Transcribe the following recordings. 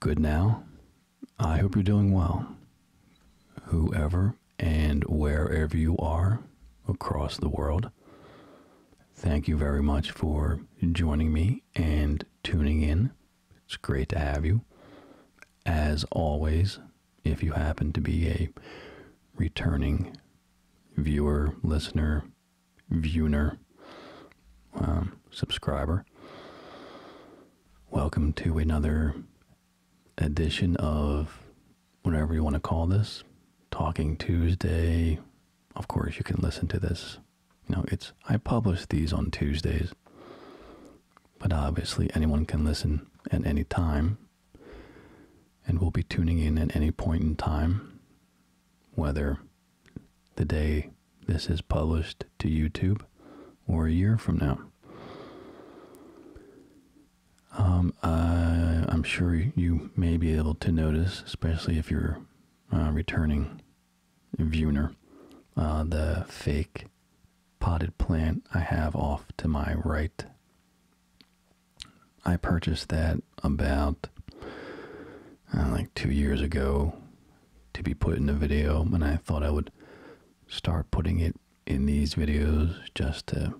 Good now. I hope you're doing well. Whoever and wherever you are across the world, thank you very much for joining me and tuning in. It's great to have you. As always, if you happen to be a returning viewer, listener, viewer, um, subscriber. Welcome to another edition of whatever you want to call this, Talking Tuesday. Of course, you can listen to this. You know, it's I publish these on Tuesdays, but obviously anyone can listen at any time, and will be tuning in at any point in time, whether the day this is published to YouTube or a year from now. Um, I, am sure you may be able to notice, especially if you're uh, returning viewer, uh, the fake potted plant I have off to my right. I purchased that about uh, like two years ago to be put in a video, and I thought I would start putting it in these videos just to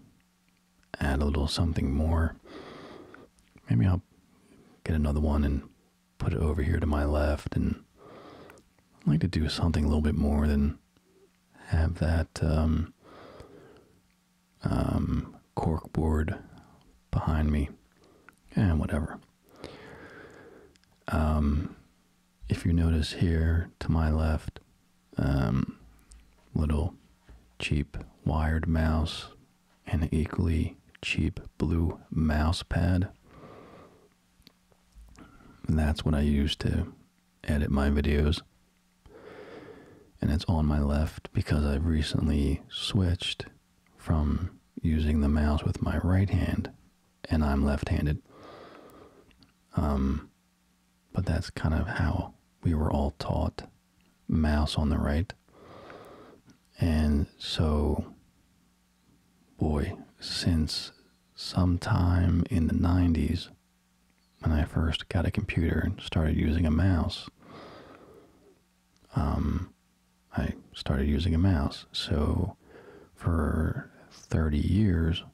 add a little something more. Maybe I'll get another one and put it over here to my left, and like to do something a little bit more than have that um, um, corkboard behind me. And whatever. Um, if you notice here to my left, um, little cheap wired mouse and equally cheap blue mouse pad. And that's what I use to edit my videos. And it's on my left because I've recently switched from using the mouse with my right hand, and I'm left-handed. Um, but that's kind of how we were all taught mouse on the right. And so, boy, since sometime in the 90s, when I first got a computer and started using a mouse, um, I started using a mouse. So for 30 years,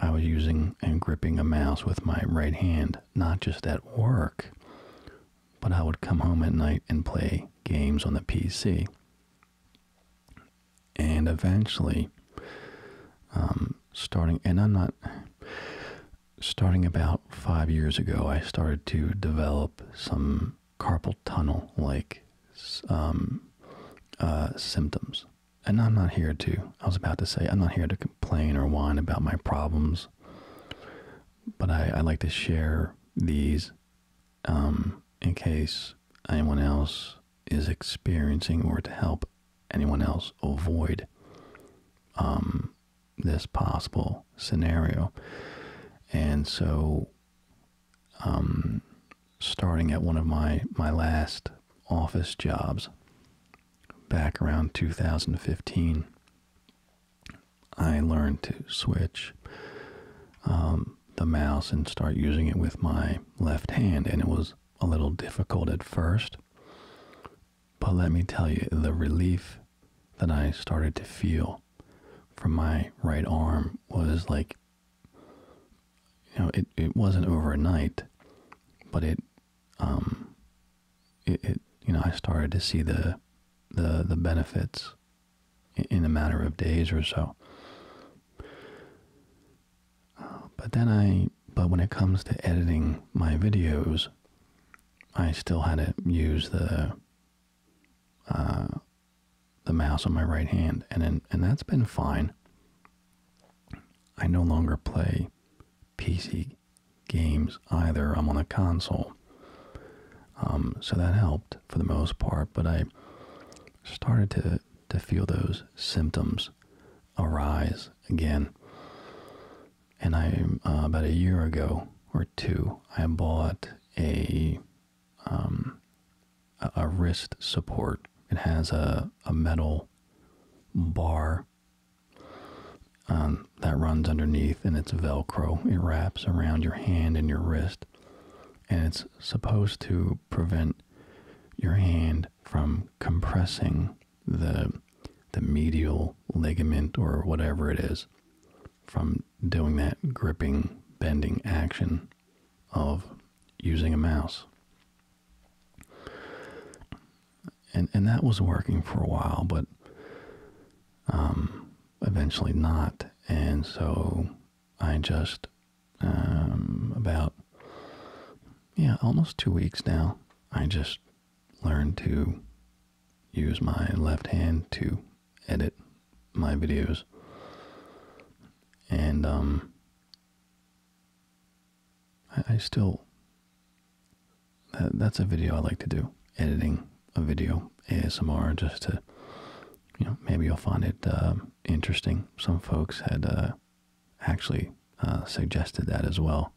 I was using and gripping a mouse with my right hand, not just at work, but I would come home at night and play games on the PC. And eventually, um, starting, and I'm not, starting about five years ago, I started to develop some carpal tunnel like um, uh, symptoms. And I'm not here to, I was about to say, I'm not here to complain or whine about my problems, but I, like to share these um, in case anyone else is experiencing or to help anyone else avoid um, this possible scenario. And so um, starting at one of my, my last office jobs back around 2015, I learned to switch um, the mouse and start using it with my left hand, and it was a little difficult at first. But let me tell you, the relief that I started to feel from my right arm was like you know it, it wasn't overnight but it um it, you know I started to see the the the benefits in a matter of days or so uh, but then I but when it comes to editing my videos I still had to use the uh, the mouse on my right hand, and and that's been fine. I no longer play PC games either. I'm on a console, um, so that helped for the most part. But I started to to feel those symptoms arise again. And I, uh, about a year ago or two, I bought a um, a, wrist support. It has a, a metal bar um, that runs underneath and it's Velcro. It wraps around your hand and your wrist and it's supposed to prevent your hand from compressing the the medial ligament or whatever it is from doing that gripping, bending action of using a mouse. And, and that was working for a while, but um, eventually not. And so I just, um, about, yeah, almost two weeks now, I just learned to use my left hand to edit my videos. And um, I, still that's a video I like to do. Editing a video ASMR just to you know, maybe you'll find it um, interesting. Some folks had uh, actually uh, suggested that as well.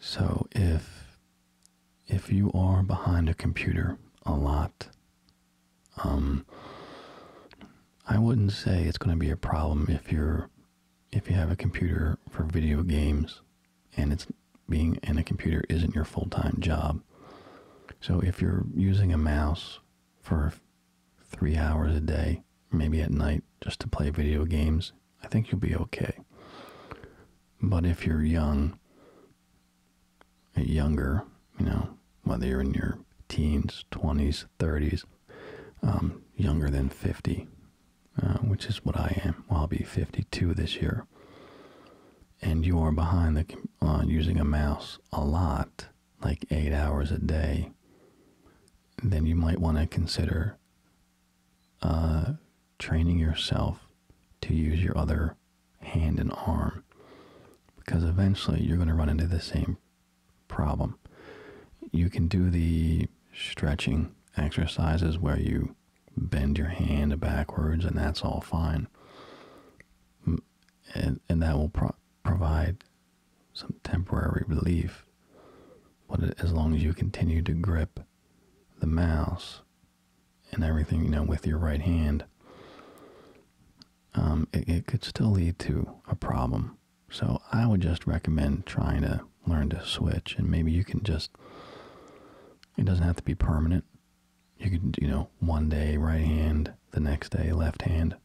So if if you are behind a computer a lot, um, I wouldn't say it's going to be a problem if you're if you have a computer for video games and it's being in a computer isn't your full-time job. So if you're using a mouse for 3 hours a day, maybe at night just to play video games, I think you'll be okay. But if you're young, eh, younger, you know, whether you're in your teens, 20s, 30s, um, younger than 50, uh, which is what I am. Well, I'll be 52 this year. And you are behind the uh, using a mouse a lot, like eight hours a day, then you might want to consider uh, training yourself to use your other hand and arm because eventually you're going to run into the same problem. You can do the stretching exercises where you bend your hand backwards and that's all fine. And, and that will provide some temporary relief. But as long as you continue to grip the mouse and everything, you know, with your right hand, um, it, could still lead to a problem. So I would just recommend trying to learn to switch, and maybe you can just. It doesn't have to be permanent. You could, you know, one day right hand, the next day left hand.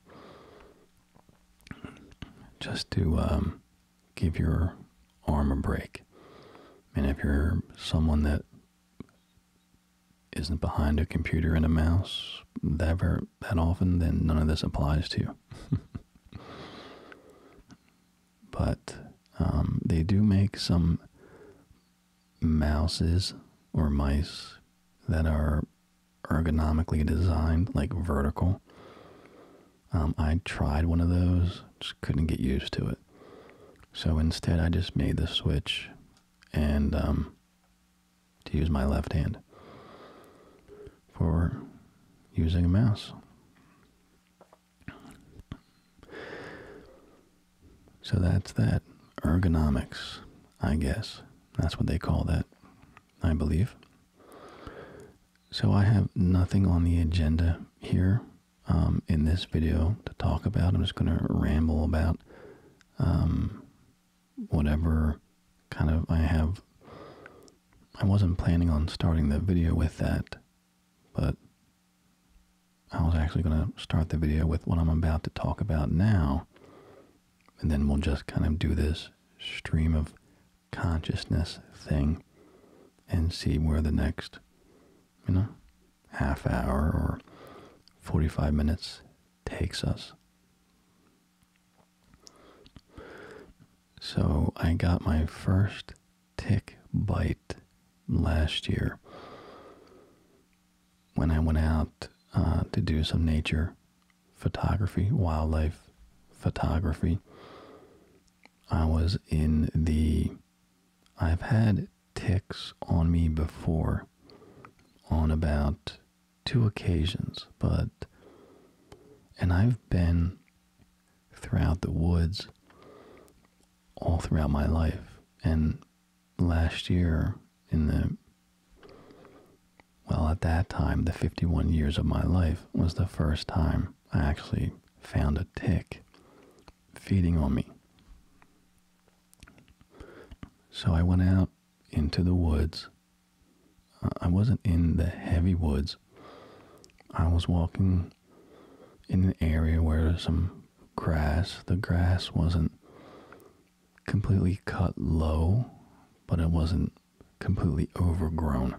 Just to um, give your arm a break. And if you're someone that isn't behind a computer and a mouse that that often, then none of this applies to you. but um, they do make some mouses or mice that are ergonomically designed, like vertical, um, I tried one of those, just couldn't get used to it. So instead, I just made the switch and um, to use my left hand for using a mouse. So that's that. Ergonomics, I guess. That's what they call that, I believe. So I have nothing on the agenda here um, in this video to talk about. I'm just going to ramble about um, whatever kind of I have. I wasn't planning on starting the video with that, but I was actually going to start the video with what I'm about to talk about now. And then we'll just kind of do this stream of consciousness thing and see where the next, you know, half hour or 45 minutes takes us. So I got my first tick bite last year when I went out uh, to do some nature photography, wildlife photography. I was in the I've had ticks on me before on about two occasions, but and I've been throughout the woods all throughout my life. And last year, in the well, at that time, the 51 years of my life was the first time I actually found a tick feeding on me. So I went out into the woods. Uh, I wasn't in the heavy woods. I was walking in an area where some grass, the grass wasn't completely cut low, but it wasn't completely overgrown.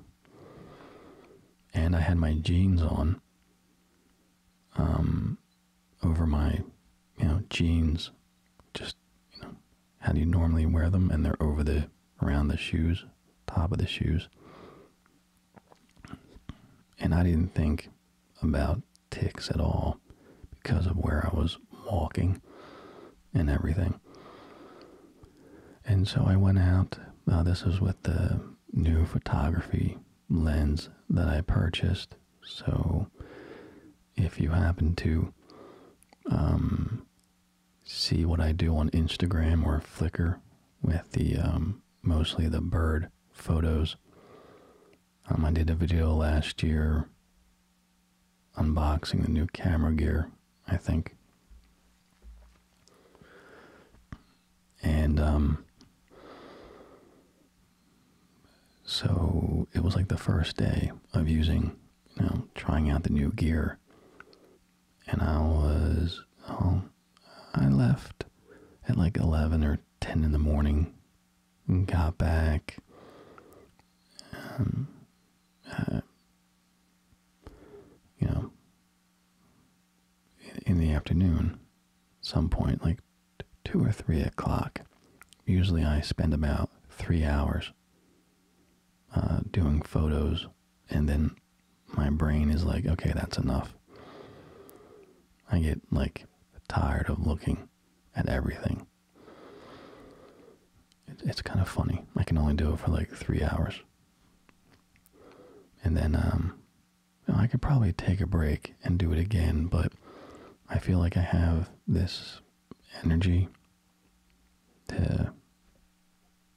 And I had my jeans on, um, over my, you know, jeans. Just, you know, how do you normally wear them? And they're over the, around the shoes, top of the shoes. And I didn't think about ticks at all because of where I was walking and everything. And so I went out. Uh, this was with the new photography lens that I purchased. So if you happen to um, see what I do on Instagram or Flickr with the um, mostly the bird photos, um, I did a video last year unboxing the new camera gear, I think and um, so it was like the first day of using you know trying out the new gear and i was oh, i left at like 11 or 10 in the morning and got back um, uh, you know in the afternoon, some point like two or three o'clock. Usually, I spend about three hours uh, doing photos, and then my brain is like, okay, that's enough. I get like tired of looking at everything. it's kind of funny. I can only do it for like three hours. And then um, I could probably take a break and do it again, but I feel like I have this energy to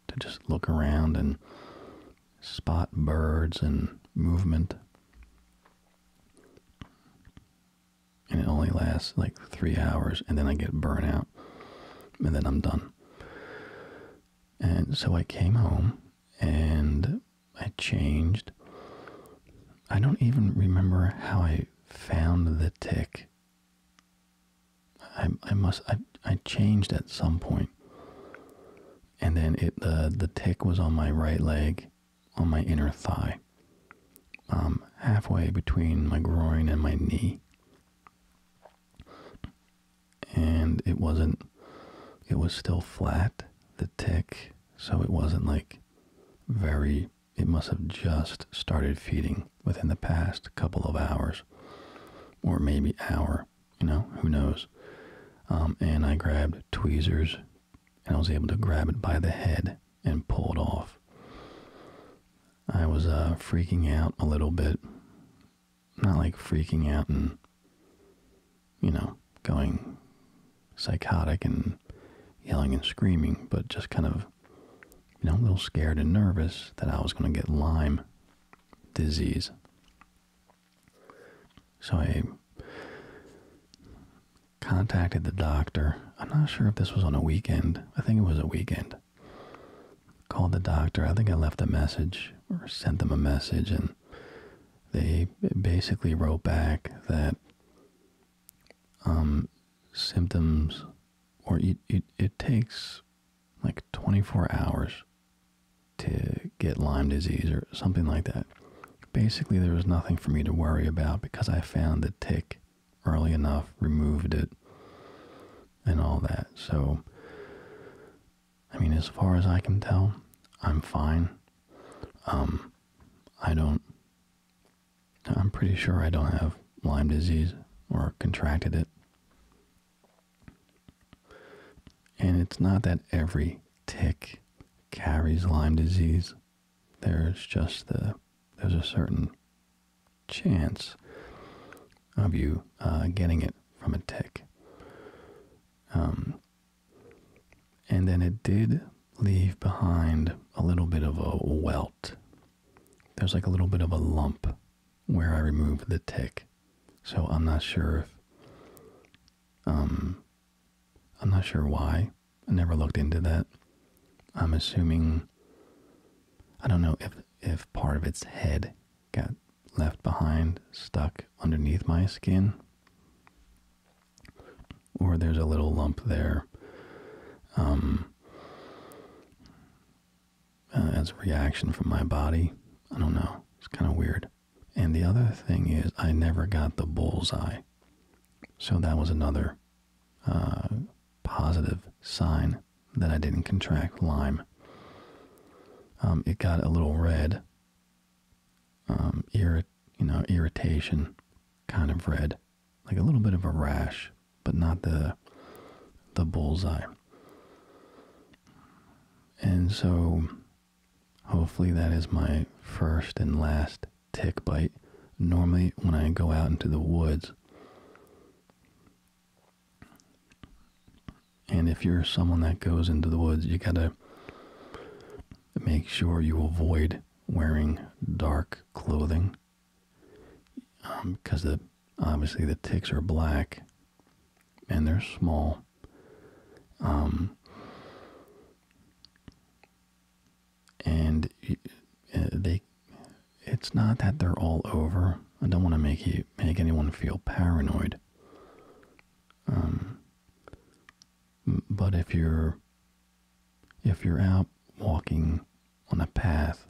to just look around and spot birds and movement. And it only lasts like three hours, and then I get burnout, and then I'm done. And so I came home, and I changed. I don't even remember how I found the tick. I I must I I changed at some point. And then it the the tick was on my right leg, on my inner thigh. Um halfway between my groin and my knee and it wasn't it was still flat the tick so it wasn't like very it must have just started feeding within the past couple of hours or maybe hour you know who knows um, and i grabbed tweezers and i was able to grab it by the head and pull it off i was uh, freaking out a little bit not like freaking out and, you know, going psychotic and yelling and screaming, but just kind of, you know, a little scared and nervous that I was going to get Lyme disease. So I contacted the doctor. I'm not sure if this was on a weekend. I think it was a weekend. Called the doctor. I think I left a message or sent them a message, and they basically wrote back that um, symptoms, or it, it, it takes like 24 hours to get Lyme disease or something like that. Basically, there was nothing for me to worry about because I found the tick early enough, removed it, and all that. So I mean, as far as I can tell, I'm fine. Um, I don't, I'm pretty sure I don't have Lyme disease or contracted it. And it's not that every tick carries Lyme disease. There's just the, there's a certain chance of you uh, getting it from a tick. Um, and then it did leave behind a little bit of a welt. There's like a little bit of a lump where I removed the tick. So I'm not sure if um I'm not sure why. I never looked into that. I'm assuming I don't know if if part of its head got left behind, stuck underneath my skin, or there's a little lump there um, uh, as a reaction from my body. I don't know. It's kind of weird. And the other thing is, I never got the bullseye. So that was another uh, positive sign that I didn't contract Lyme. Um, it got a little red um, you know irritation kind of red, like a little bit of a rash, but not the the bullseye. And so, hopefully, that is my first and last tick bite. Normally, when I go out into the woods, and if you're someone that goes into the woods, you gotta make sure you avoid wearing dark clothing because um, the obviously the ticks are black and they're small. Um, and uh, they, it's not that they're all over. I don't want to make you make anyone feel paranoid. Um, but if you're if you're out walking on a path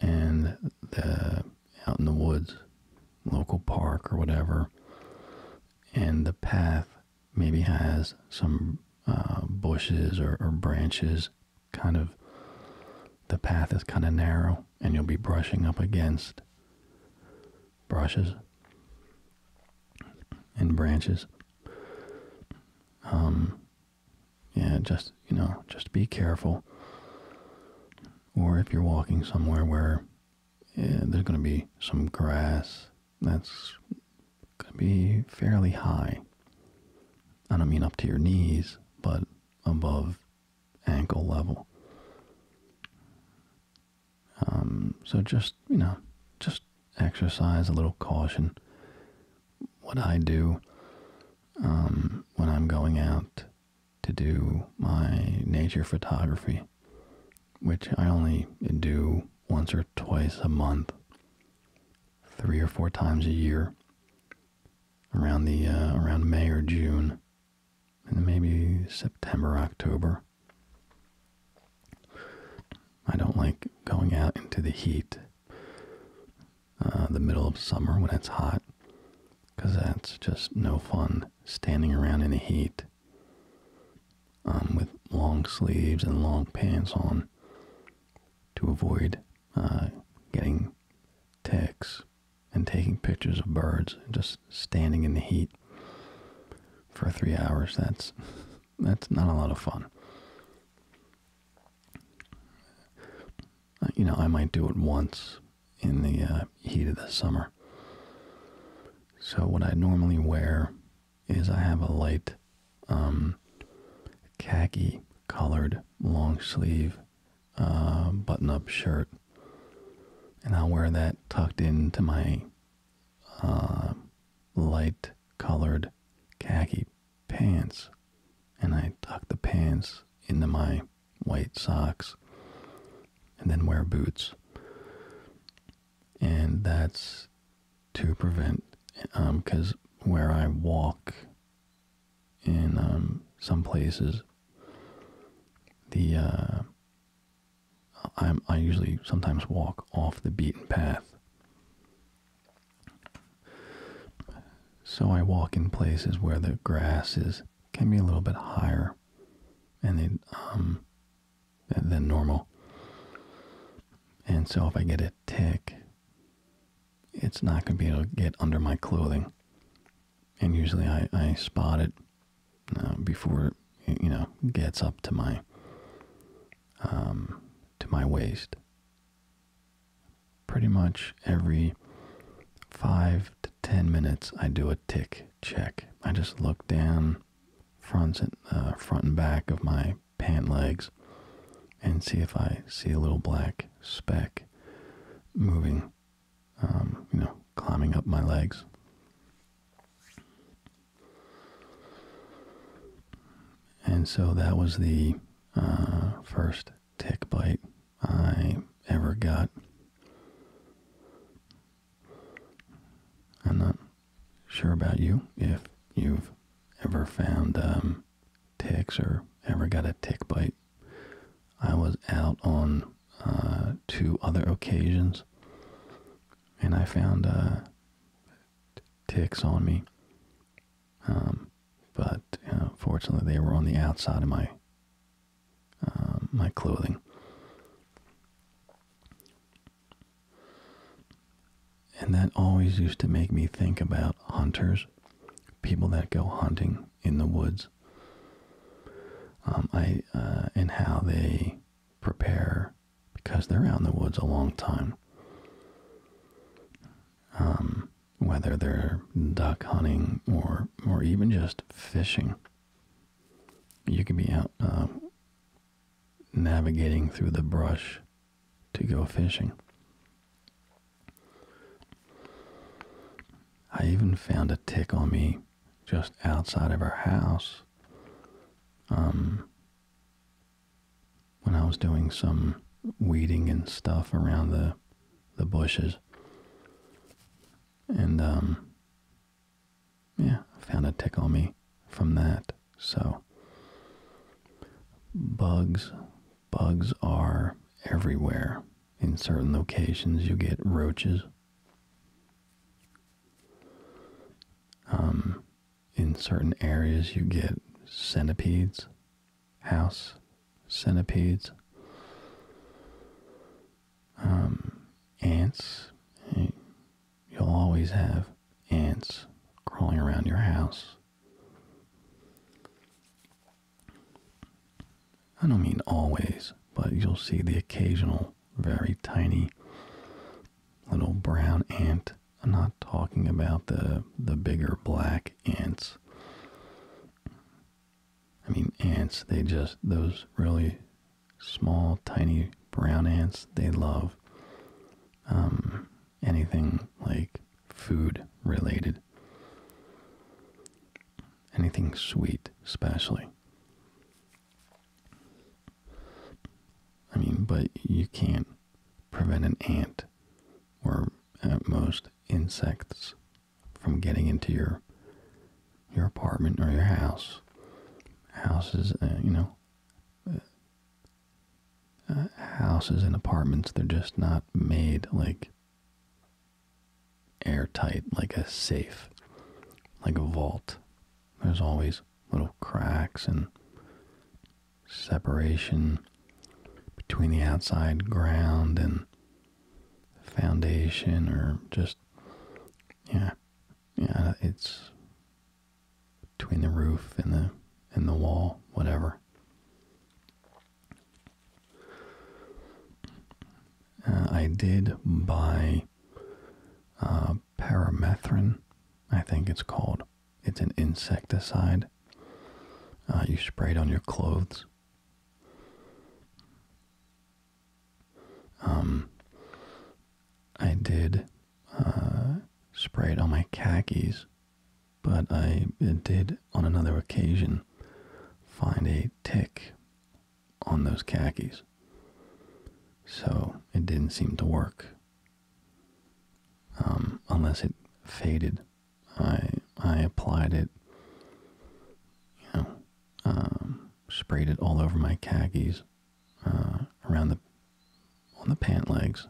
and the out in the woods, local park or whatever, and the path maybe has some uh, bushes or branches kind of the path is kind of narrow and you'll be brushing up against brushes and branches. Um, just, you know, just be careful. Or if you're walking somewhere where there's going to be some grass that's going to be fairly high. I don't mean up to your knees, but above ankle level. Um, so just, you know, just exercise a little caution. What I do um, when I'm going out to do my nature photography, which I only do once or twice a month, three or four times a year, around the uh, around May or June, and maybe September, October. I don't like going out into the heat, uh, the middle of summer when it's hot, because that's just no fun standing around in the heat um, with long sleeves and long pants on to avoid uh, getting ticks and taking pictures of birds and just standing in the heat for three hours. That's that's not a lot of fun. Uh, you know, I might do it once in the uh, heat of the summer. So what I normally wear is I have a light um, khaki colored long sleeve uh, button up shirt. And I'll wear that tucked into my uh, light colored khaki pants, and I tuck the pants into my white socks and then wear boots. And that's to prevent, because um, where I walk in um, some places, the uh, i usually sometimes walk off the beaten path. So I walk in places where the grass is can be a little bit higher, and it, um, than normal. And so if I get a tick, it's not going to be able to get under my clothing. And usually I, I spot it uh, before it, you know gets up to my um, to my waist. Pretty much every five to ten minutes, I do a tick check. I just look down front and uh, front and back of my pant legs and see if I see a little black speck moving, um, you know, climbing up my legs. And so that was the uh, first tick bite I ever got. I'm not sure about you if you've ever found um, ticks or ever got a tick bite. I was out on uh, two other occasions and I found uh, ticks on me. Um, but fortunately, they were on the outside of my um, my clothing. And that always used to make me think about hunters, people that go hunting in the woods. Um, I uh, and how they prepare because they're out in the woods a long time. Um, whether they're duck hunting or or even just fishing, you can be out uh, navigating through the brush to go fishing. I even found a tick on me just outside of our house um, when I was doing some weeding and stuff around the the bushes. And um, yeah, I found a tick on me from that. So bugs, bugs are everywhere. In certain locations, you get roaches. Um, in certain areas you get centipedes, house centipedes, um, ants. You'll always have ants crawling around your house. I don't mean always, but you'll see the occasional very tiny little brown ant. I'm not talking about the the bigger black ants. I mean ants, they just those really small tiny brown ants, they love um anything like food related. Anything sweet, especially. I mean, but you can't prevent an ant or at most insects from getting into your your apartment or your house. Houses, uh, you know, uh, houses and apartments, they're just not made like airtight, like a safe, like a vault. There's always little cracks and separation between the outside ground and foundation or just yeah yeah it's between the roof and the and the wall whatever uh, I did buy uh, paramethrin, I think it's called. It's an insecticide. Uh, you spray it on your clothes. Um, I did uh, spray it on my khakis, but I did on another occasion find a tick on those khakis. So it didn't seem to work. Um, unless it faded. I I applied it, you know, um, sprayed it all over my khakis, uh, around the on the pant legs,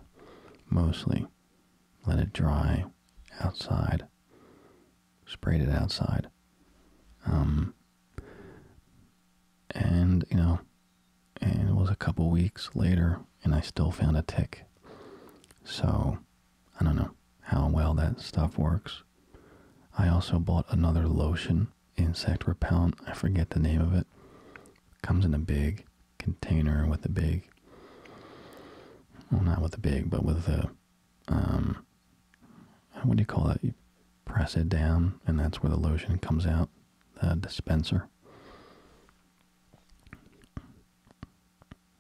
mostly. Let it dry outside. Sprayed it outside. Um, and you know, and it was a couple weeks later and I still found a tick. So I don't know how well that stuff works. I also bought another lotion, insect repellent, I forget the name of it. Comes in a big container with a big well not with a big but with a um what do you call it? You press it down and that's where the lotion comes out uh, dispenser.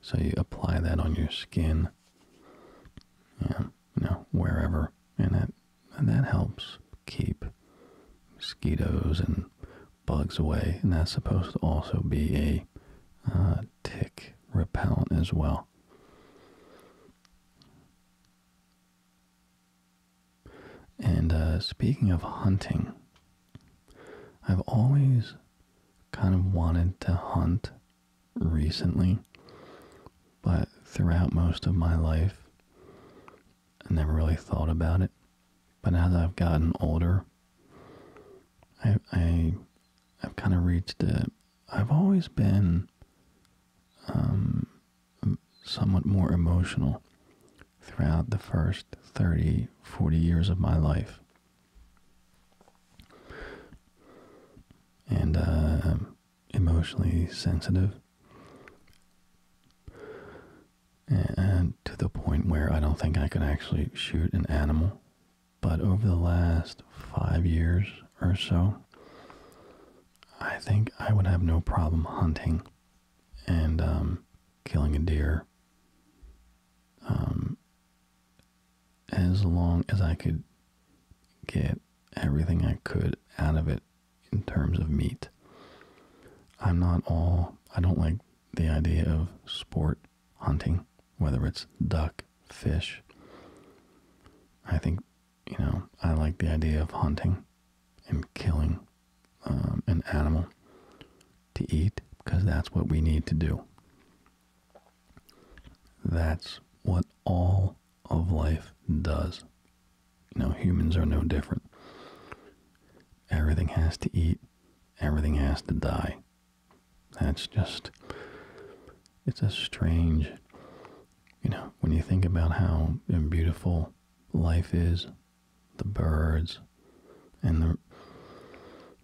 So you apply that on your skin, um, you know, wherever, and that and that helps keep mosquitoes and bugs away. And that's supposed to also be a uh, tick repellent as well. And uh, speaking of hunting, I've always kind of wanted to hunt recently, but throughout most of my life, I never really thought about it. But as I've gotten older, I, I have kind of reached it. i I've always been um, somewhat more emotional throughout the first 30, 40 years of my life. And uh, emotionally sensitive. And to the point where I don't think I can actually shoot an animal. But over the last five years or so, I think I would have no problem hunting and um, killing a deer. Um, as long as I could get everything I could out of it in terms of meat. I'm not all, I don't like the idea of sport hunting, whether it's duck, fish. I think, you know, I like the idea of hunting am killing um, an animal to eat because that's what we need to do. That's what all of life does. You know, humans are no different. Everything has to eat, everything has to die. That's just, it's a strange, you know, when you think about how beautiful life is the birds and the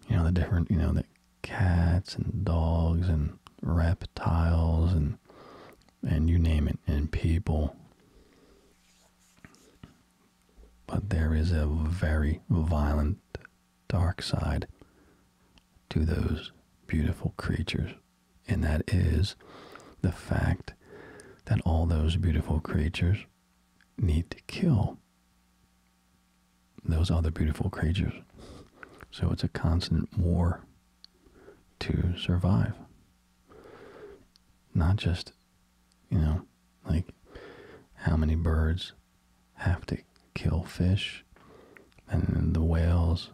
you know the different you know the cats and dogs and reptiles and and you name it and people but there is a very violent dark side to those beautiful creatures and that is the fact that all those beautiful creatures need to kill those other beautiful creatures. So it's a constant war to survive. Not just, you know, like how many birds have to kill fish and the whales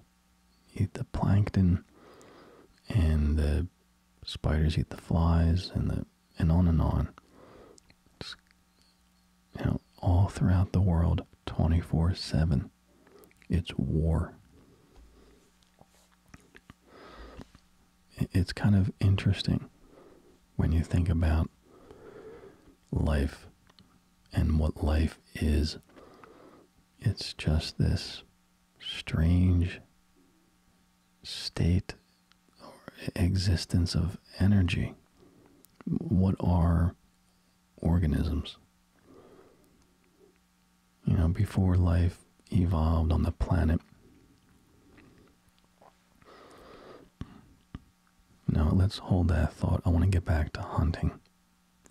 eat the plankton and the spiders eat the flies and the and on and on. It's, all throughout the world, 24/7, it's war. It's kind of interesting when you think about life and what life is. It's just this strange state or existence of energy. What are organisms? You know, before life evolved on the planet, Now let's hold that thought. I want to get back to hunting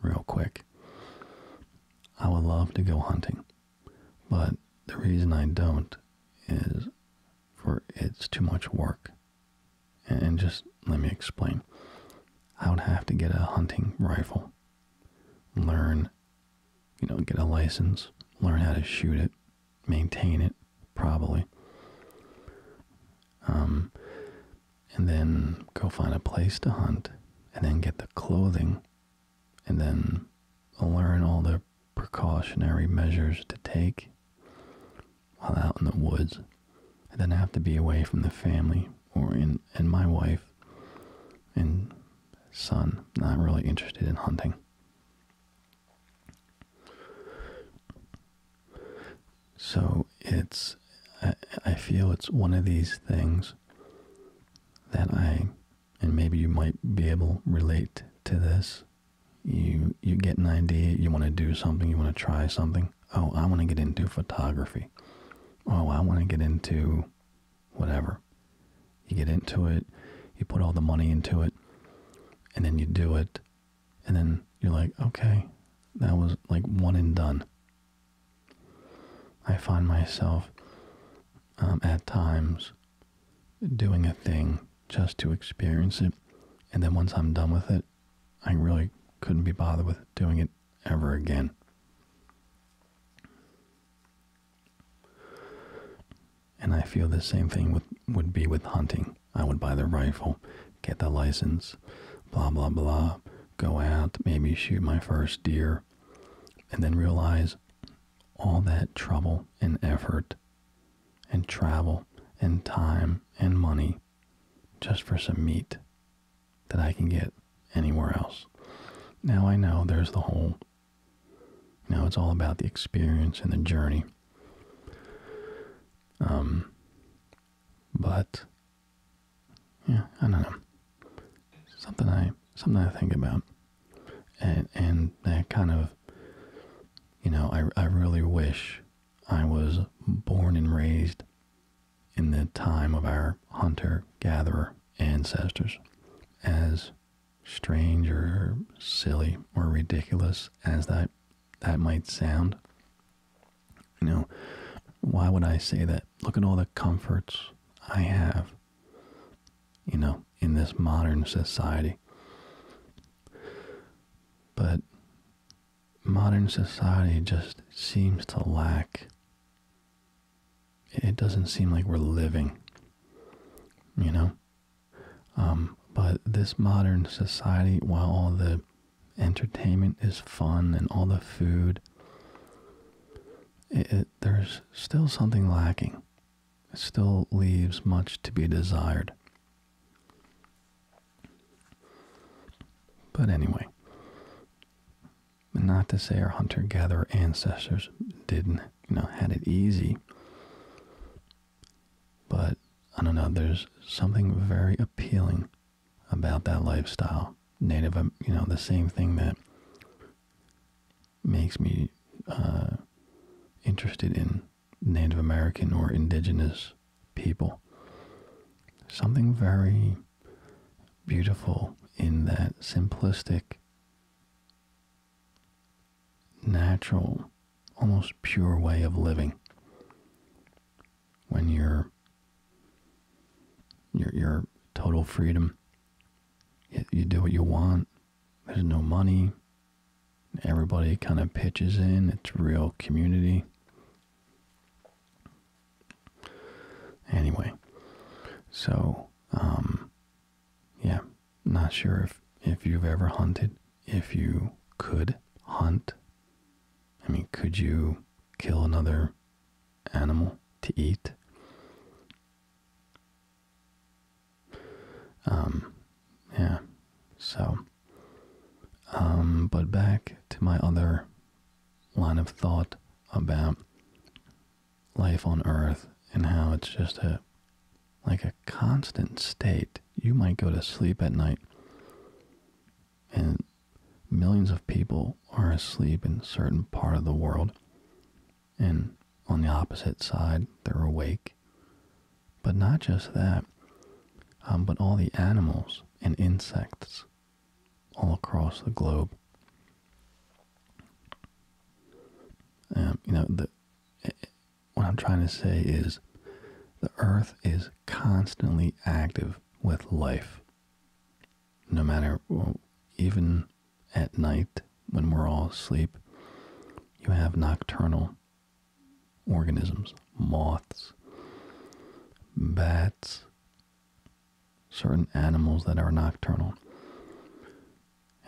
real quick. I would love to go hunting. But the reason I don't is for it's too much work. And just let me explain. I would have to get a hunting rifle, learn, you know, get a license, learn how to shoot it, maintain it, probably. Um, and then go find a place to hunt, and then get the clothing and then learn all the precautionary measures to take while out in the woods, and then have to be away from the family or in and my wife and son not really interested in hunting. So it's I, I feel it's one of these things that I and maybe you might be able relate to this. You you get an idea, you want to do something, you want to try something. Oh, I want to get into photography. Oh, I want to get into whatever. You get into it, you put all the money into it, and then you do it, and then you're like, okay, that was like one and done. I find myself um, at times doing a thing just to experience it. And then once I'm done with it, I really couldn't be bothered with doing it ever again. And I feel the same thing with, would be with hunting. I would buy the rifle, get the license, blah, blah, blah, go out, maybe shoot my first deer, and then realize all that trouble and effort and travel and time and money just for some meat that I can get anywhere else. Now I know there's the whole, Now it's all about the experience and the journey. Um, but yeah, I don't know. Something I something I think about and and that kind of you know I, I really wish I was born and raised in the time of our hunter gatherer ancestors as strange or silly or ridiculous as that that might sound you know why would I say that look at all the comforts I have you know in this modern society. But modern society just seems to lack. It doesn't seem like we're living, you know? Um, but this modern society, while all the entertainment is fun and all the food, there's still something lacking. It still leaves much to be desired. But anyway, not to say our hunter gatherer ancestors didn't, you know, had it easy. But I don't know, there's something very appealing about that lifestyle. Native, um, you know, the same thing that makes me uh, interested in Native American or indigenous people. Something very beautiful in that simplistic, natural, almost pure way of living. When your your your total freedom, you do what you want. There's no money. Everybody kind of pitches in. It's real community. Anyway, so um, yeah, not sure if if you've ever hunted. If you could hunt, I mean, could you kill another animal to eat? Um, yeah, so, um, but back to my other line of thought about life on Earth and how it's just a like a constant state. You might go to sleep at night, and millions of people are asleep in certain part of the world, and on the opposite side they're awake. But not just that, um, but all the animals and insects all across the globe. Um, you know, what I'm trying to say is the earth is constantly active with life. No matter, well, even at night when we're all asleep, you have nocturnal organisms, moths, bats, certain animals that are nocturnal.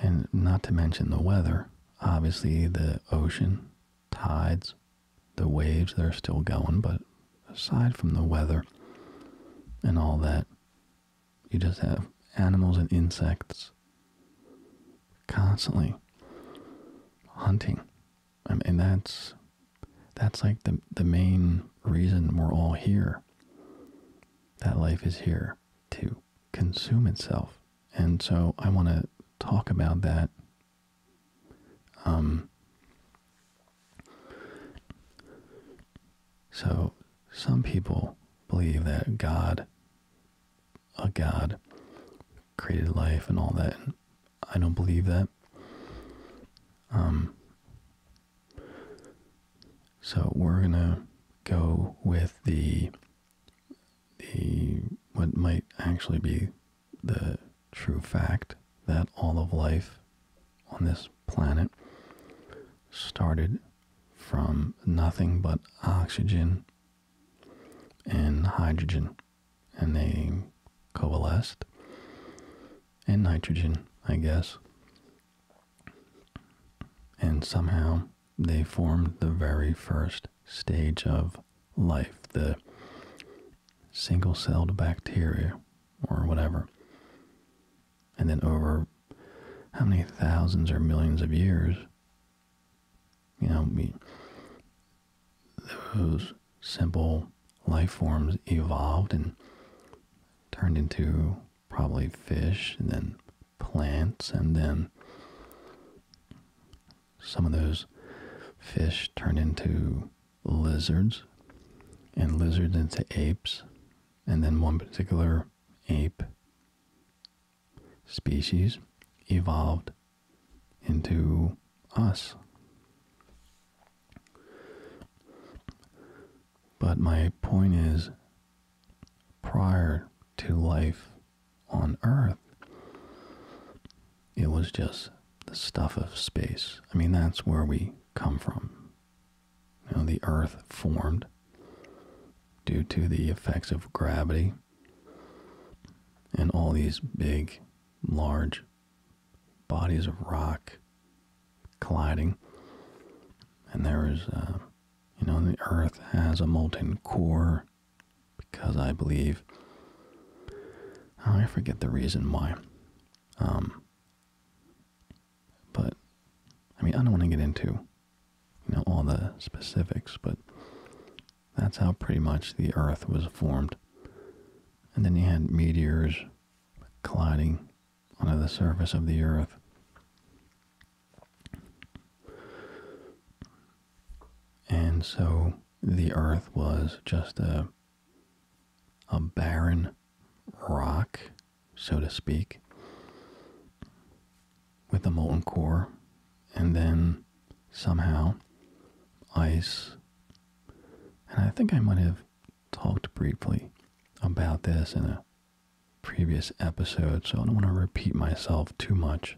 And not to mention the weather, obviously the ocean, tides, the waves they are still going, but aside from the weather and all that, you just have animals and insects constantly hunting. and that's that's like the the main reason we're all here. That life is here to consume itself, and so I want to talk about that. Um, so some people believe that God a god created life and all that. I don't believe that. Um, so we're gonna go with the the what might actually be the true fact that all of life on this planet started from nothing but oxygen and hydrogen, and they coalesced, and nitrogen, I guess. And somehow they formed the very first stage of life, the single celled bacteria or whatever. And then over how many thousands or millions of years, you know, those simple life forms evolved and turned into probably fish and then plants and then some of those fish turned into lizards and lizards into apes and then one particular ape species evolved into us. But my point is, prior to life on Earth, it was just the stuff of space. I mean, that's where we come from. You the Earth formed due to the effects of gravity and all these big, large bodies of rock colliding. And there is, uh, you know, the Earth has a molten core because I believe, oh, I forget the reason why. Um, but, I mean, I don't want to get into you know all the specifics, but that's how pretty much the Earth was formed. And then you had meteors colliding onto the surface of the Earth. And so the Earth was just a a barren rock, so to speak, with a molten core, and then somehow ice. And I think I might have talked briefly about this in a previous episode, so I don't want to repeat myself too much.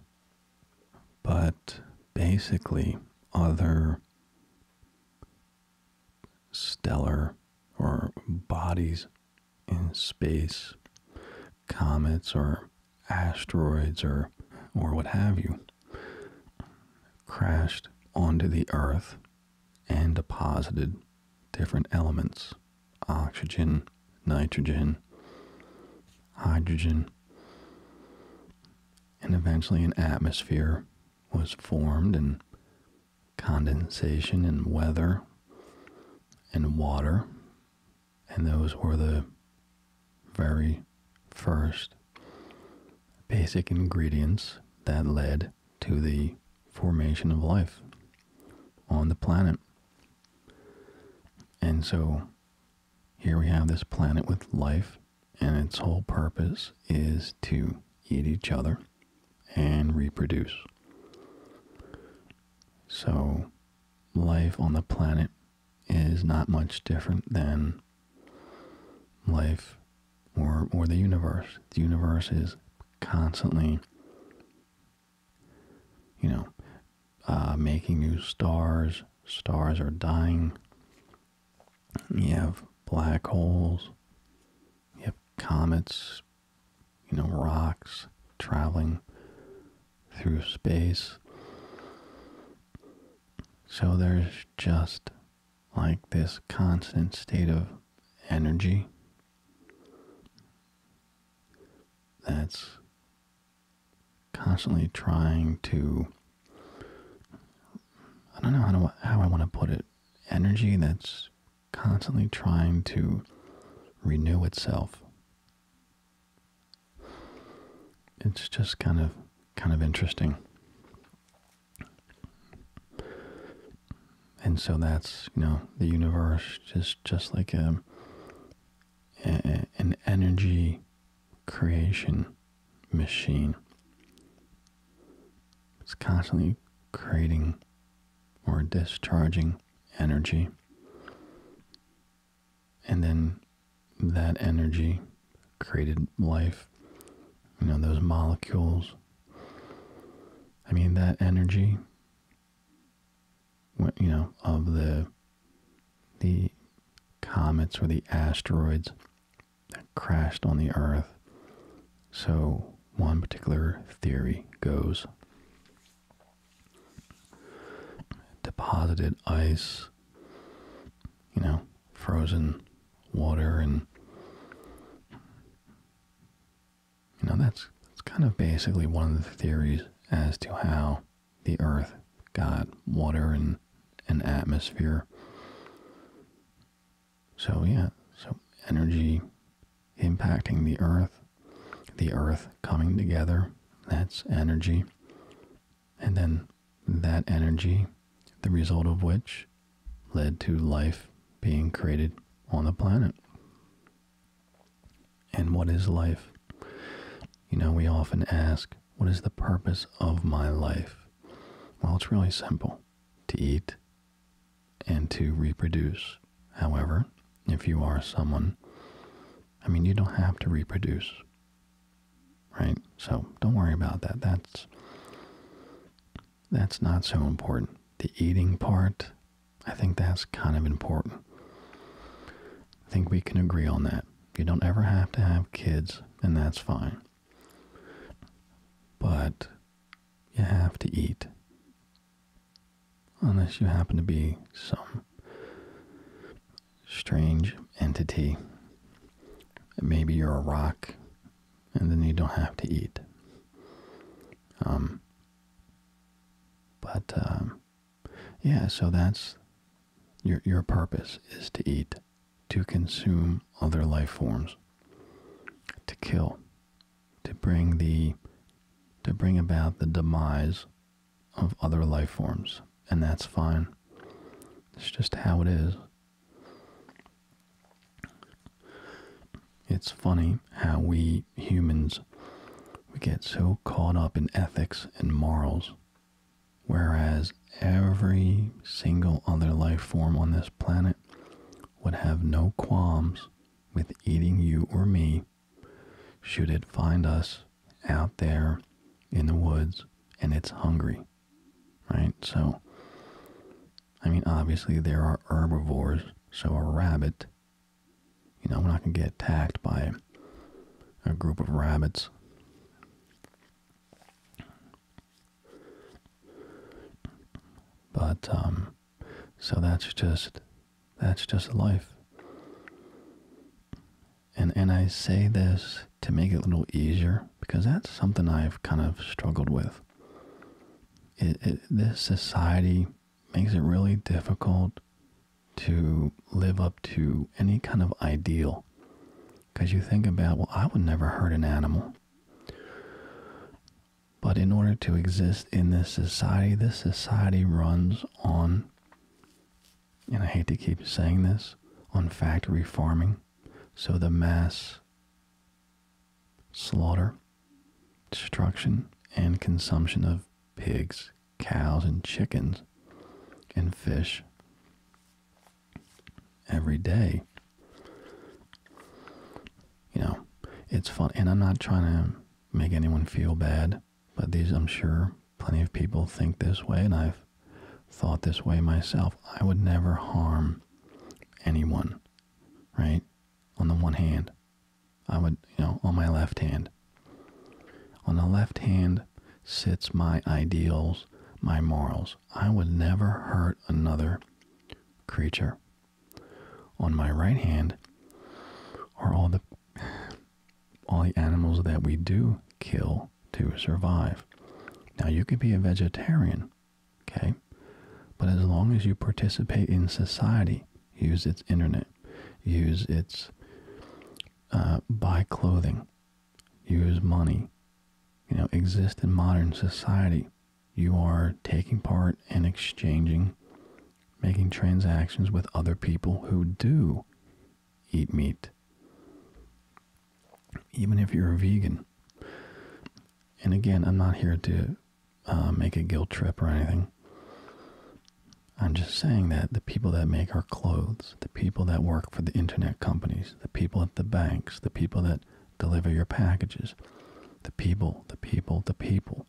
But basically, other stellar or bodies in space, comets or asteroids or or what have you crashed onto the earth and deposited different elements oxygen nitrogen hydrogen and eventually an atmosphere was formed and condensation and weather and water and those were the very first basic ingredients that led to the formation of life on the planet. And so here we have this planet with life, and its whole purpose is to eat each other and reproduce. So life on the planet is not much different than life or or the universe. The universe is constantly, you know, uh, making new stars. Stars are dying. You have black holes. You have comets. You know, rocks traveling through space. So there's just like this constant state of energy that's constantly trying to I don't know how, I want to put it energy that's constantly trying to renew itself it's just kind of kind of interesting. And so that's you know the universe is just like a an energy creation machine. It's constantly creating or discharging energy and then that energy created life you know those molecules i mean that energy you know of the the comets or the asteroids that crashed on the earth so one particular theory goes deposited ice, you know, frozen water, and you know that's that's kind of basically one of the theories as to how the Earth got water and an atmosphere. So yeah, so energy impacting the Earth, the Earth coming together, that's energy. And then that energy, the result of which led to life being created on the planet. And what is life? You know, we often ask, what is the purpose of my life? Well, it's really simple to eat and to reproduce. However, if you are someone, I mean, you don't have to reproduce right? So don't worry about that. That's that's not so important. The eating part, I think that's kind of important. I think we can agree on that. You don't ever have to have kids, and that's fine. But you have to eat. Unless you happen to be some strange entity. Maybe you're a rock, and then you don't have to eat. Um, but um, yeah, so that's your your purpose is to eat, to consume other life forms, to kill, to bring the to bring about the demise of other life forms, and that's fine. It's just how it is. It's funny how we humans we get so caught up in ethics and morals whereas every single other life form on this planet would have no qualms with eating you or me should it find us out there in the woods and it's hungry, right? So, I mean, obviously there are herbivores, so a rabbit, you know, we're not going to get attacked by a group of rabbits. But, um, so that's just, that's just life and and I say this to make it a little easier because that's something I've kind of struggled with. this society makes it really difficult to live up to any kind of ideal because you think about, well, I would never hurt an animal. But in order to exist in this society, this society runs on and I hate to keep saying this, on factory farming. So the mass slaughter, destruction, and consumption of pigs, cows, and chickens, and fish every day. You know, it's fun. And I'm not trying to make anyone feel bad but these, I'm sure, plenty of people think this way, and I've thought this way myself. I would never harm anyone, right? On the one hand, I would, you know, on my left hand. On the left hand sits my ideals, my morals. I would never hurt another creature. On my right hand are all the all the animals that we do kill to survive. Now, you could be a vegetarian, okay? But as long as you participate in society, use its internet, use its uh, buy clothing, use money, you know, exist in modern society, you are taking part in exchanging, making transactions with other people who do eat meat even if you're a vegan. And again, I'm not here to uh, make a guilt trip or anything. I'm just saying that the people that make our clothes, the people that work for the internet companies, the people at the banks, the people that deliver your packages, the people, the people, the people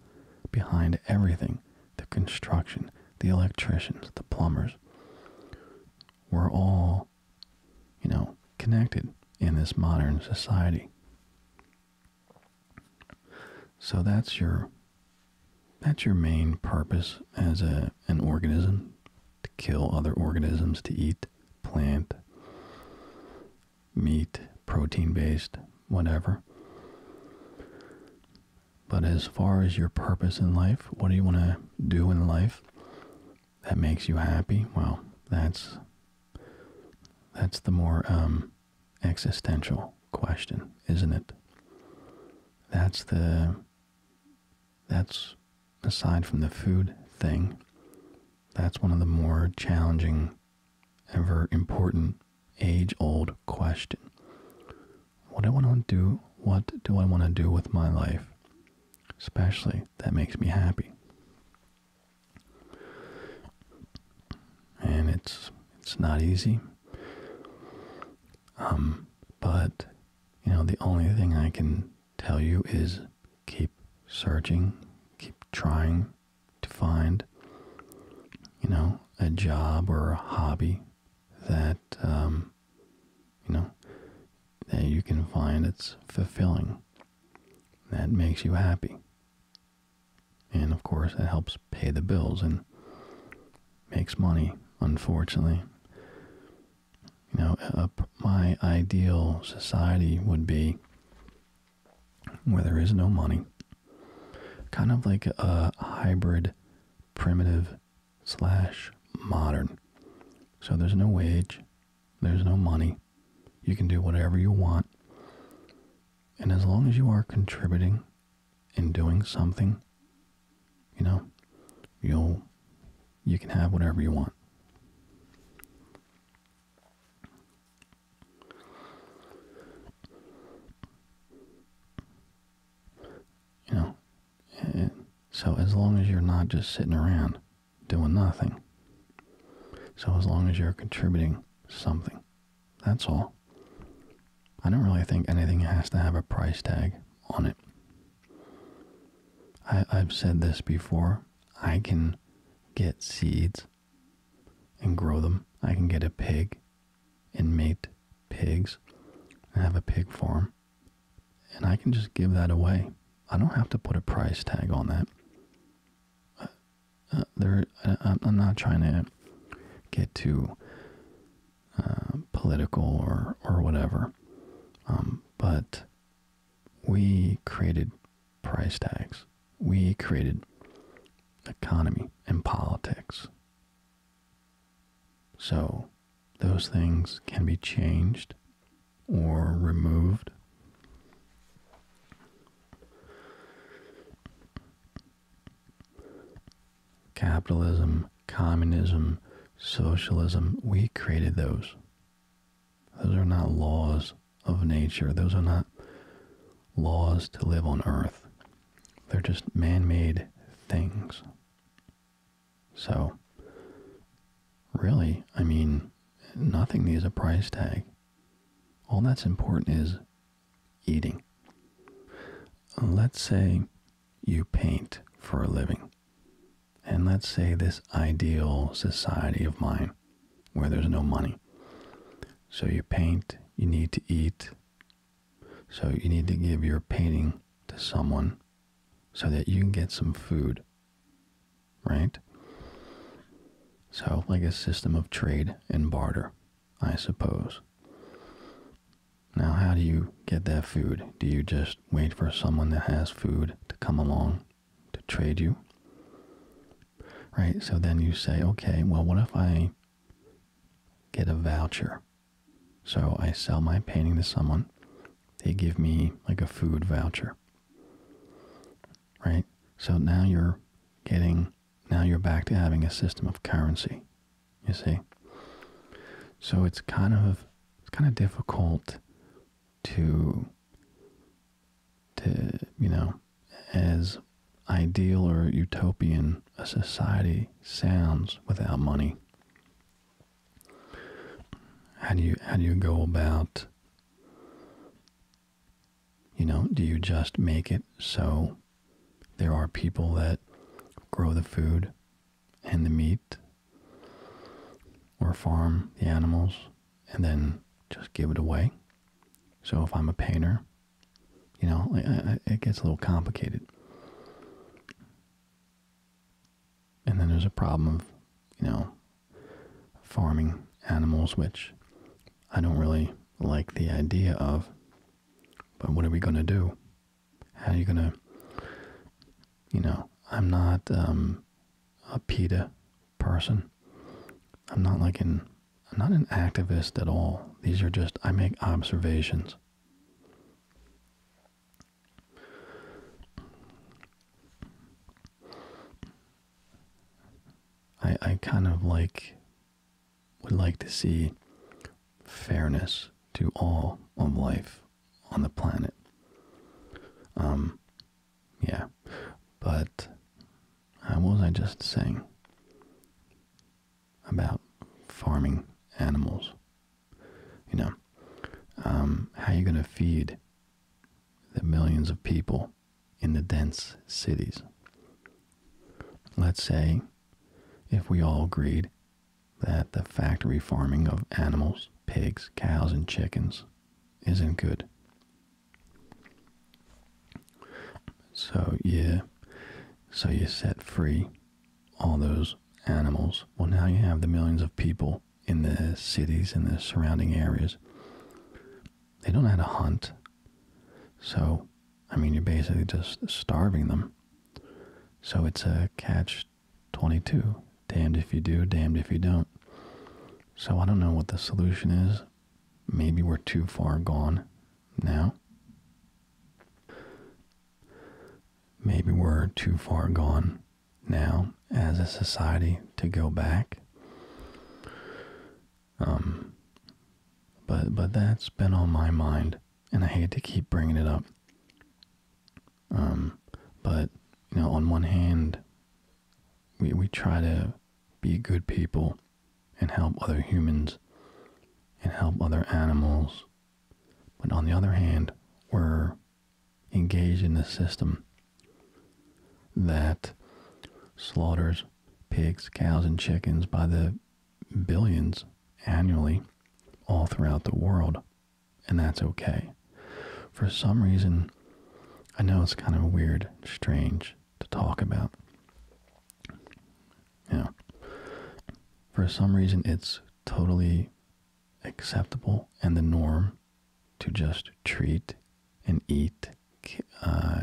behind everything, the construction, the electricians, the plumbers, we're all, you know, connected in this modern society. So that's your that's your main purpose as a an organism to kill other organisms to eat plant meat protein based whatever but as far as your purpose in life, what do you want to do in life that makes you happy? Well, that's that's the more um, existential question, isn't it? That's the that's aside from the food thing, that's one of the more challenging, ever important, age old question what I want to do, what do I want to do with my life, especially that makes me happy. And it's it's not easy. Um, but you know, the only thing I can tell you is keep searching, keep trying to find, you know, a job or a hobby that um, you know, that you can find it's fulfilling. That makes you happy. And of course, it helps pay the bills and makes money, unfortunately. You know, uh, my ideal society would be where there is no money, kind of like a hybrid primitive slash modern. So there's no wage, there's no money. You can do whatever you want. And as long as you are contributing and doing something, you know, you'll you can have whatever you want. You know, uh, so as long as you're not just sitting around doing nothing, so as long as you're contributing something, that's all. I don't really think anything has to have a price tag on it. I, have said this before. I can get seeds and grow them. I can get a pig and mate pigs and have a pig farm and I can just give that away. I don't have to put a price tag on that. Uh, uh, there, uh, I'm not trying to get too political or or whatever, um, but we created price tags. We created economy and politics so those things can be changed or removed. Capitalism, communism, socialism, we created those. Those are not laws of nature. Those are not laws to live on earth. They're just man made things. So, really, I mean, nothing needs a price tag. All that's important is eating. Let's say you paint for a living. And let's say this ideal society of mine where there's no money. So you paint, you need to eat. So you need to give your painting to someone so that you can get some food, right? So, like a system of trade and barter, I suppose. Now, how do you get that food? Do you just wait for someone that has food to come along to trade you? Right, so then you say, okay, well, what if I get a voucher so I sell my painting to someone. They give me like a food voucher. Right? So now you're getting, now you're back to having a system of currency. You see? So it's kind of, it's kind of difficult to, to, you know, as ideal or utopian a society sounds without money. How do you how do you go about you know, do you just make it so there are people that grow the food and the meat or farm the animals and then just give it away? So if I'm a painter, you know, it gets a little complicated and then there's a problem of, you know, farming animals, which I don't really like the idea of. But what are we going to do? How are you going to, you know, I'm not um, a PETA person. I'm not like an, I'm not an activist at all. These are just, I make observations. I I kind of like would like to see fairness to all of life on the planet. Um yeah. But how uh, was I just saying about farming animals you know, um, how are you going to feed the millions of people in the dense cities? Let's say if we all agreed that the factory farming of animals, pigs, cows, and chickens isn't good. So yeah, so you set free all those animals. Well, now you have the millions of people in the cities and the surrounding areas. They don't know how to hunt. So, I mean, you're basically just starving them. So it's a catch 22. Damned if you do, damned if you don't. So I don't know what the solution is. Maybe we're too far gone now. Maybe we're too far gone now as a society to go back. Um, but but that's been on my mind, and I hate to keep bringing it up. Um, but you know, on one hand, we we try to be good people and help other humans and help other animals, but on the other hand, we're engage in a system that slaughters pigs, cows, and chickens by the billions annually all throughout the world, and that's okay. For some reason, I know it's kind of weird, strange to talk about. You for some reason, it's totally acceptable and the norm to just treat and eat uh,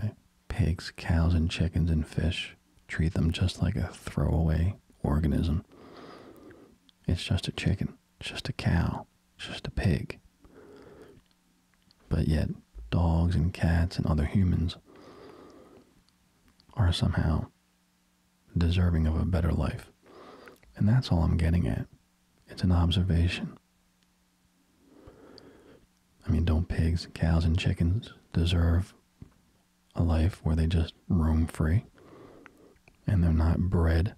pigs, cows, and chickens and fish, treat them just like a throwaway organism. It's just a chicken, just a cow, just a pig. But yet, dogs and cats and other humans are somehow deserving of a better life. And that's all I'm getting at. It's an observation. I mean, don't pigs, cows, and chickens deserve a life where they just roam free and they're not bred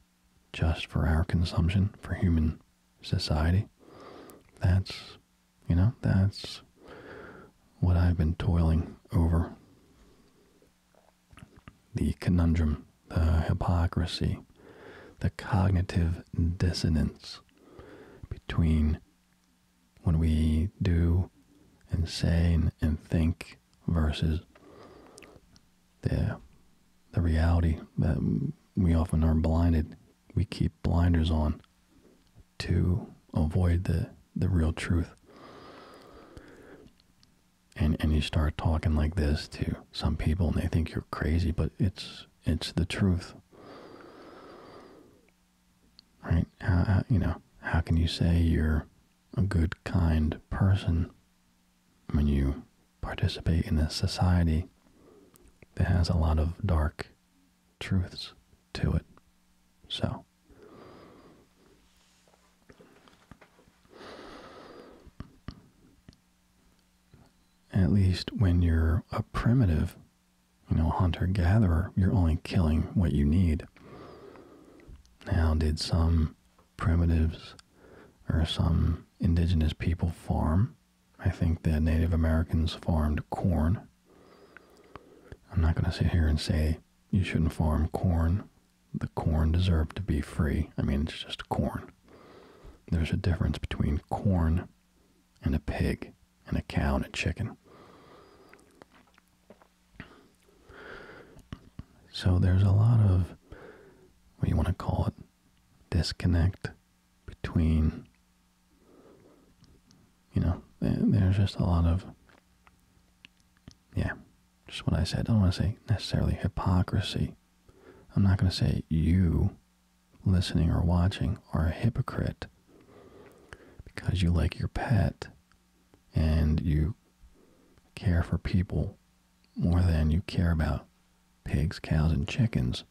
just for our consumption, for human society? That's, you know, that's what I've been toiling over the conundrum, the hypocrisy, the cognitive dissonance between what we do and say and, think versus the the reality that we often are blinded. We keep blinders on to avoid the, the real truth and and you start talking like this to some people and they think you're crazy but it's it's the truth right how, you know how can you say you're a good kind person when you participate in a society that has a lot of dark truths to it so at least when you're a primitive, you know, hunter gatherer, you're only killing what you need. Now, did some primitives or some indigenous people farm? I think the Native Americans farmed corn. I'm not going to sit here and say you shouldn't farm corn the corn deserved to be free. I mean, it's just corn. There's a difference between corn and a pig and a cow and a chicken. So there's a lot of what you want to call it disconnect between you know eh, there's just a lot of yeah just what I said. I don't want to say necessarily hypocrisy. I'm not going to say you listening or watching are a hypocrite because you like your pet and you care for people more than you care about pigs, cows, and chickens.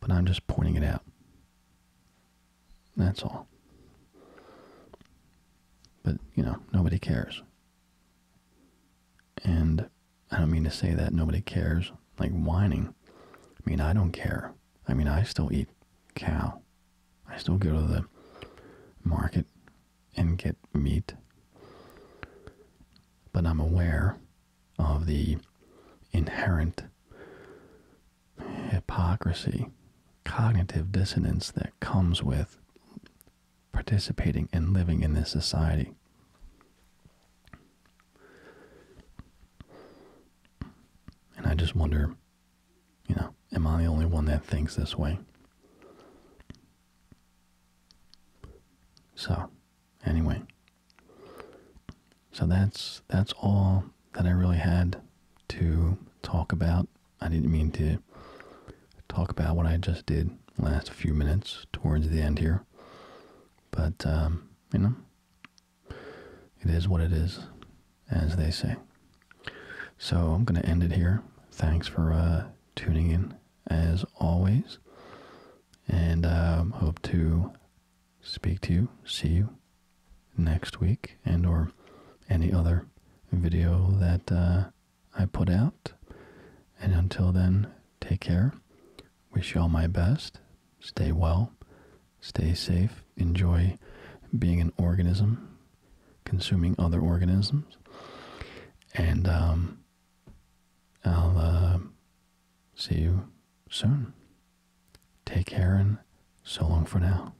But I'm just pointing it out. That's all. But, you know, nobody cares. And I don't mean to say that nobody cares, like whining. I mean, I don't care. I mean, I still eat cow. I still go to the market and get meat. But I'm aware of the inherent hypocrisy, cognitive dissonance that comes with participating and living in this society. And I just wonder, you know, am I the only one that thinks this way? So, anyway. So that's that's all that I really had to talk about I didn't mean to talk about what I just did last few minutes towards the end here. But, um, you know, it is what it is, as they say. So I'm going to end it here. Thanks for uh, tuning in, as always. And um, hope to speak to you, see you next week, and or any other video that uh, I put out. And until then, take care. Wish you all my best. Stay well. Stay safe. Enjoy being an organism, consuming other organisms. And um, I'll uh, see you soon. Take care and so long for now.